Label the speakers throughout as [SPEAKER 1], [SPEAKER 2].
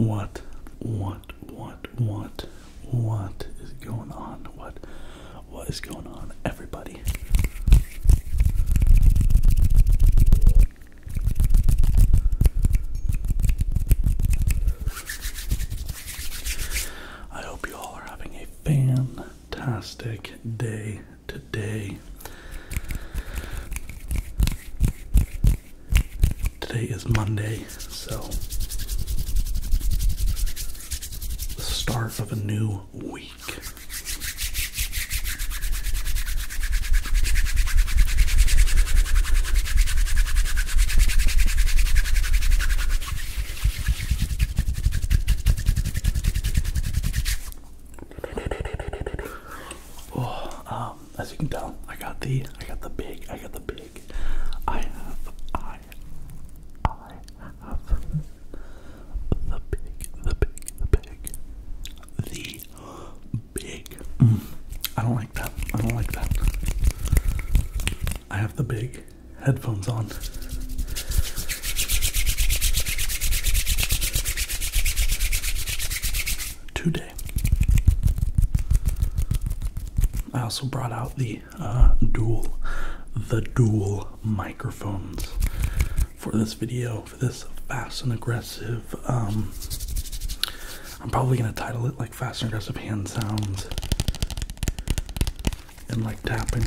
[SPEAKER 1] What, what, what, what, what? What is going on? What what is going on everybody? I hope you all are having a fantastic day today. Today is Monday, so the start of a new week. Oh, um, as you can tell, I got the, I got the big, I got the big I have, I, I have the big, the big, the big, the big. Mm. I don't like that. I don't like that. I have the big headphones on today. I also brought out the uh, dual, the dual microphones for this video, for this fast and aggressive. Um, I'm probably gonna title it like fast and aggressive hand sounds and like tapping.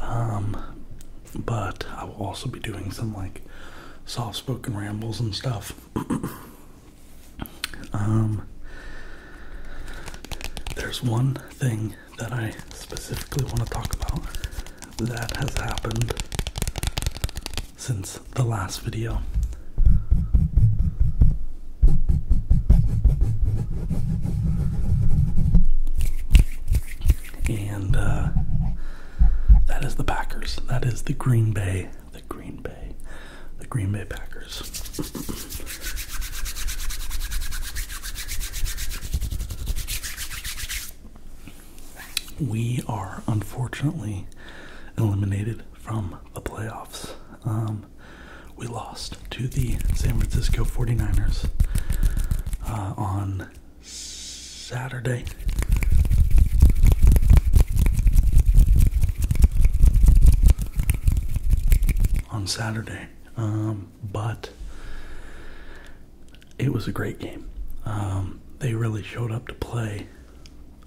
[SPEAKER 1] Um, but I will also be doing some like soft spoken rambles and stuff. Um, there's one thing that I specifically want to talk about that has happened since the last video and uh, that is the Packers. That is the Green Bay, the Green Bay, the Green Bay Packers. We are unfortunately eliminated from the playoffs. Um, we lost to the San Francisco 49ers uh, on Saturday. On Saturday, um, but it was a great game. Um, they really showed up to play.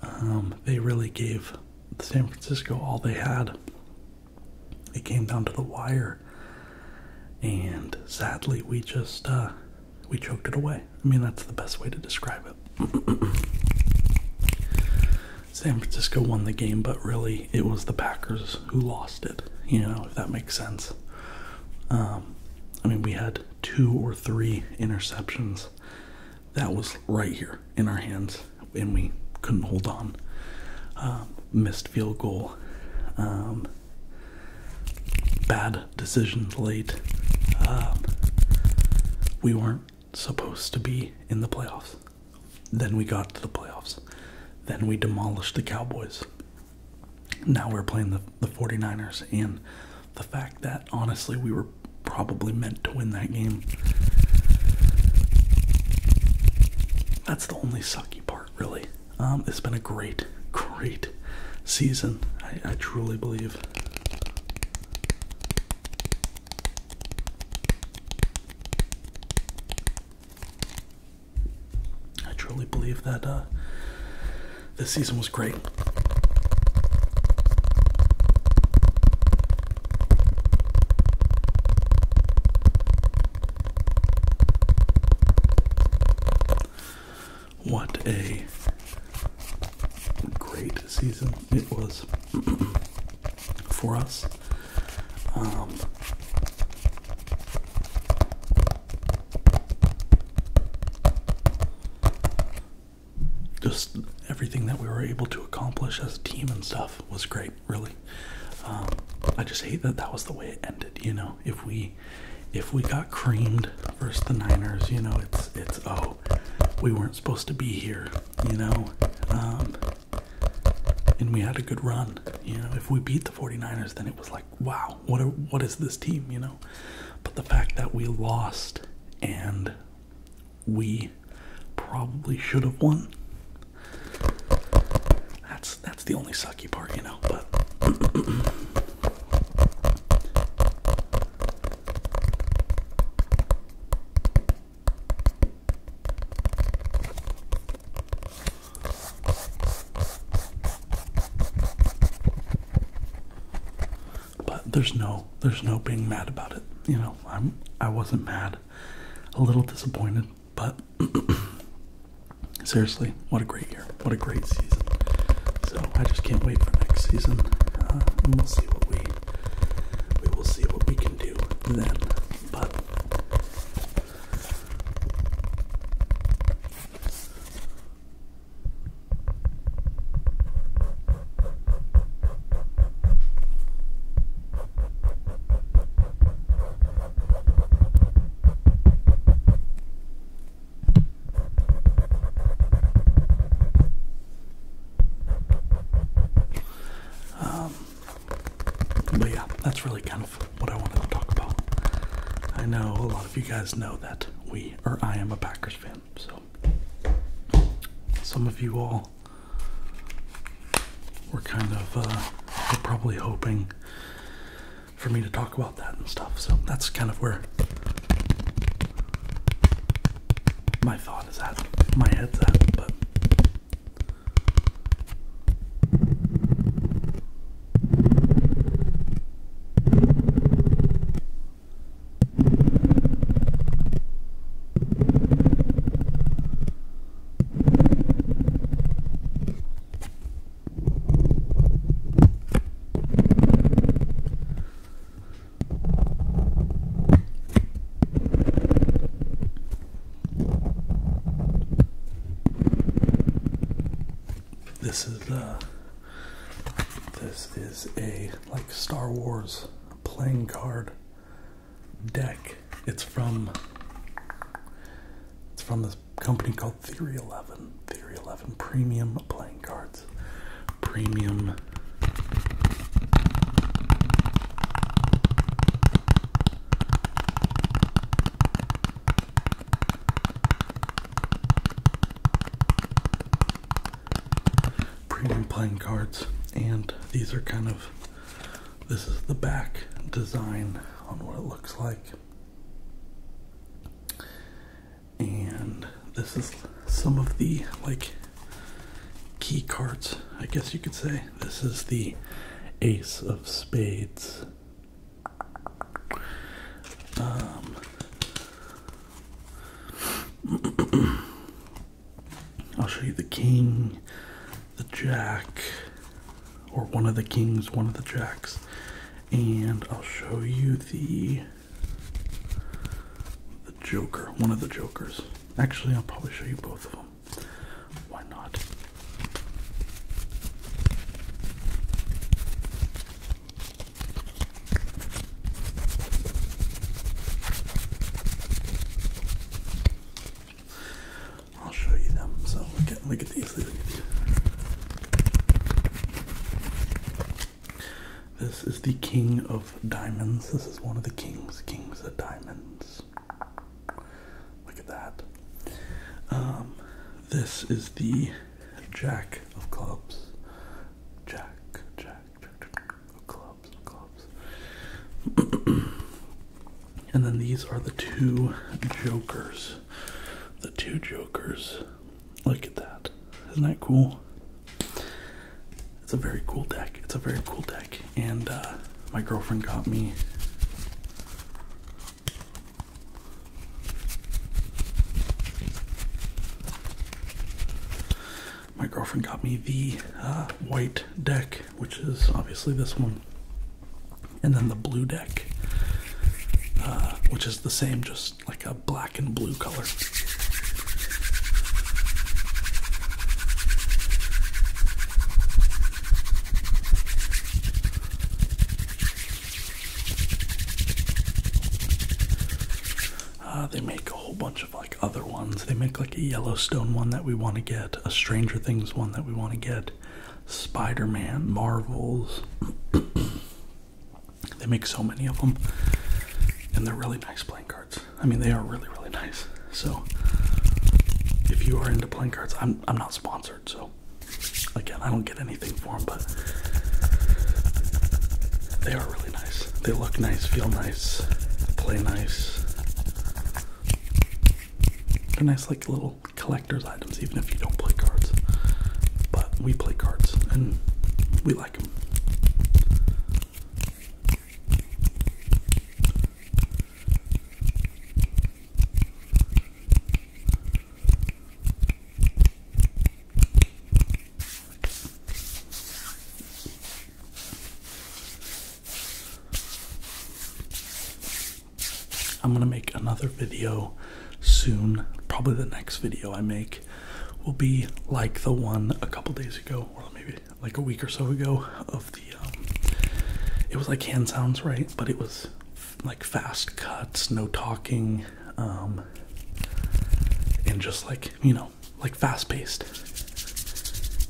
[SPEAKER 1] Um, they really gave San Francisco all they had. It came down to the wire, and sadly we just uh, we choked it away. I mean that's the best way to describe it. San Francisco won the game, but really it was the Packers who lost it. You know if that makes sense. Um, I mean we had two or three interceptions that was right here in our hands, and we couldn't hold on. Um, missed field goal. Um, bad decisions late. Uh, we weren't supposed to be in the playoffs. Then we got to the playoffs. Then we demolished the Cowboys. Now we're playing the, the 49ers, and the fact that honestly we were probably meant to win that game. That's the only sucky part, really. Um, it's been a great, great season, I, truly believe. I truly believe that uh, this season was great. What a great season it was for us. Um, just everything that we were able to accomplish as a team and stuff was great really. Um, I just hate that that was the way it ended. You know, if we if we got creamed versus the Niners, you know, it's it's oh, we weren't supposed to be here. You know, um, and we had a good run. You know, if we beat the 49ers, then it was like wow, what are, what is this team? You know, but the fact that we lost and we probably should have won that's that's the only sucky part, you know. But But there's no there's no being mad about it. You know, I'm I wasn't mad. A little disappointed, but seriously, what a great year! What a great season! So I just can't wait for next season, uh, we'll see what we we will see what we can do then. But um, but yeah, that's really kind of what I wanted to talk about. I know a lot of you guys know that we, or I am a Packers fan, so some of you all we're kind of uh, probably hoping for me to talk about that and stuff. So that's kind of where my thought is at, my head's at, but. This is the uh, this is a like Star Wars playing card deck. It's from it's from this company called Theory 11. Theory 11 premium playing cards. Premium Premium playing cards, and these are kind of this is the back design on what it looks like. And this is some of the like key cards, I guess you could say. This is the Ace of Spades. Um, I'll show you the king, the jack, or one of the kings, one of the jacks, and I'll show you the the joker, one of the jokers. Actually, I'll probably show you both of them. Why not? I'll show you them. So look at these. Look at these. This is the king of diamonds. This is one of the kings. Kings of diamonds. Look at that. Um, this is the jack of clubs. Jack, jack, Clubs, clubs. and then these are the two jokers. The two jokers. Look at that. Isn't that cool? It's a very cool deck. It's a very cool deck. And uh, my girlfriend got me my girlfriend got me the uh, white deck, which is obviously this one, and then the blue deck, uh, which is the same, just like a black and blue color. Uh, they make a whole bunch of like other ones. They make like a Yellowstone one that we want to get, a Stranger Things one that we want to get, Spider Man, Marvels. they make so many of them, and they're really nice playing cards. I mean, they are really, really nice. So, if you are into playing cards, I'm, I'm not sponsored, so again, I don't get anything for them, but they are really they look nice, feel nice, play nice. They're nice, like little collector's items, even if you don't play cards. But we play cards and we like them. I'm gonna make another video soon. Probably the next video I make will be like the one a couple days ago, or maybe like a week or so ago, of the um, it was like hand sounds, right? But it was like fast cuts, no talking, um, and just like you know, like fast paced.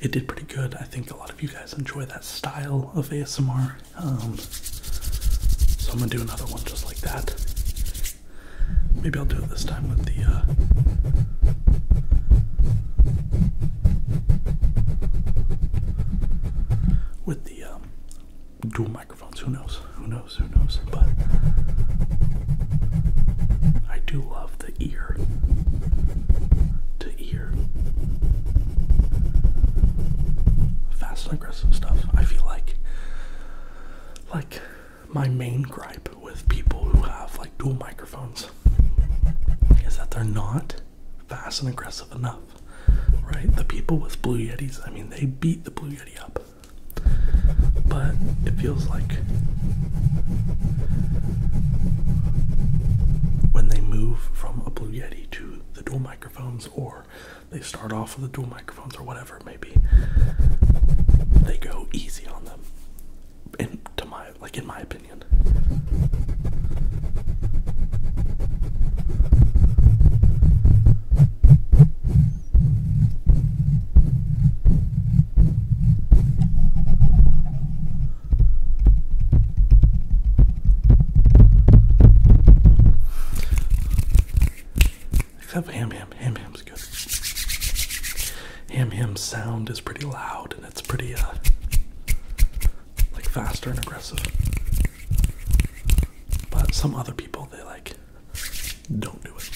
[SPEAKER 1] It did pretty good. I think a lot of you guys enjoy that style of ASMR. Um, so I'm gonna do another one just like that. Maybe I'll do it this time with the. Uh, with the um, dual microphones, who knows? Who knows? Who knows? But I do love the ear to ear. Fast and aggressive stuff. I feel like like my main gripe with people who have like dual microphones is that they're not fast and aggressive enough. Right? The people with Blue Yetis, I mean they beat the Blue Yeti up but it feels like when they move from a Blue Yeti to the dual microphones, or they start off with the dual microphones, or whatever it may be, they go easy on them. In to my like, in my opinion. Except ham ham, ham ham's good. Ham ham sound is pretty loud and it's pretty uh like faster and aggressive. But some other people they like don't do it.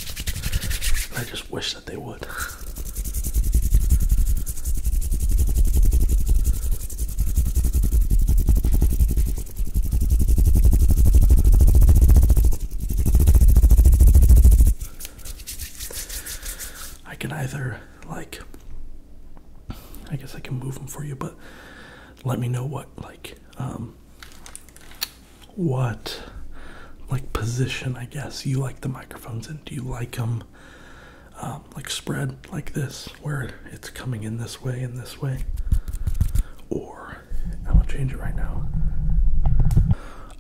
[SPEAKER 1] I just wish that they would. I can either, like, I guess I can move them for you, but let me know what, like, um, what like position I guess you like the microphones and do you like them um, like spread like this where it's coming in this way and this way or I'm gonna change it right now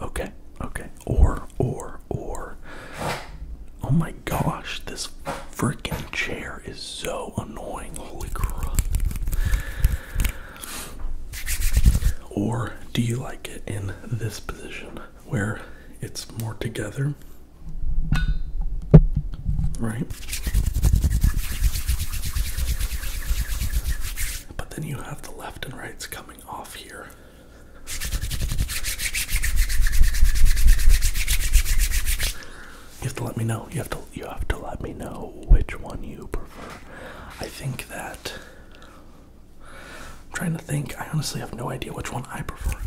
[SPEAKER 1] okay okay or or or oh my gosh this freaking chair is so annoying holy crap or do you like it in this position where it's more together? Right? But then you have the left and rights coming off here. You have to let me know. You have to you have to let me know which one you prefer. I think that I'm trying to think. I honestly have no idea which one I prefer.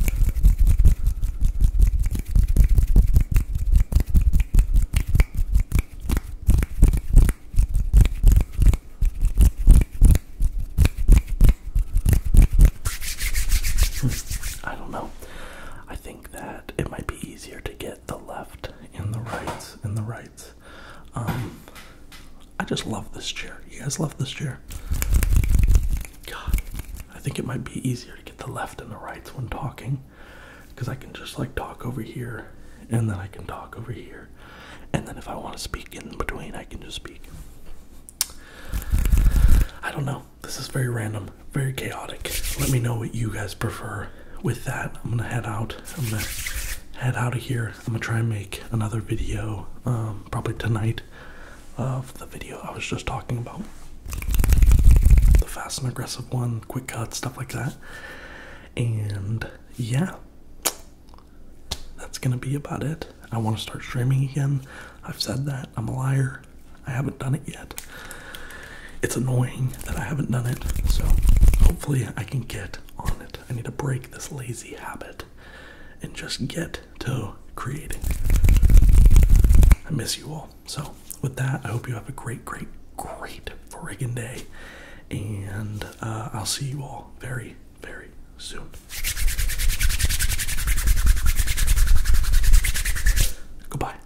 [SPEAKER 1] Hmm. I don't know. I think that it might be easier to get the left and the right and the right. Um, I just love this chair. You guys love this chair? God, I think it might be easier to get the left and the rights when talking because I can just like talk over here and then I can talk over here. And then if I want to speak in between, I can just speak. I don't know. This is very random, very chaotic. Let me know what you guys prefer with that, I'm gonna head out. I'm gonna head out of here. I'm gonna try and make another video, um, probably tonight, of the video I was just talking about. The fast and aggressive one, quick cut, stuff like that. And yeah, that's gonna be about it. I wanna start streaming again. I've said that. I'm a liar. I haven't done it yet it's annoying that I haven't done it, so hopefully I can get on it. I need to break this lazy habit and just get to creating. I miss you all. So, with that, I hope you have a great, great, great friggin' day, and uh, I'll see you all very, very soon. Goodbye.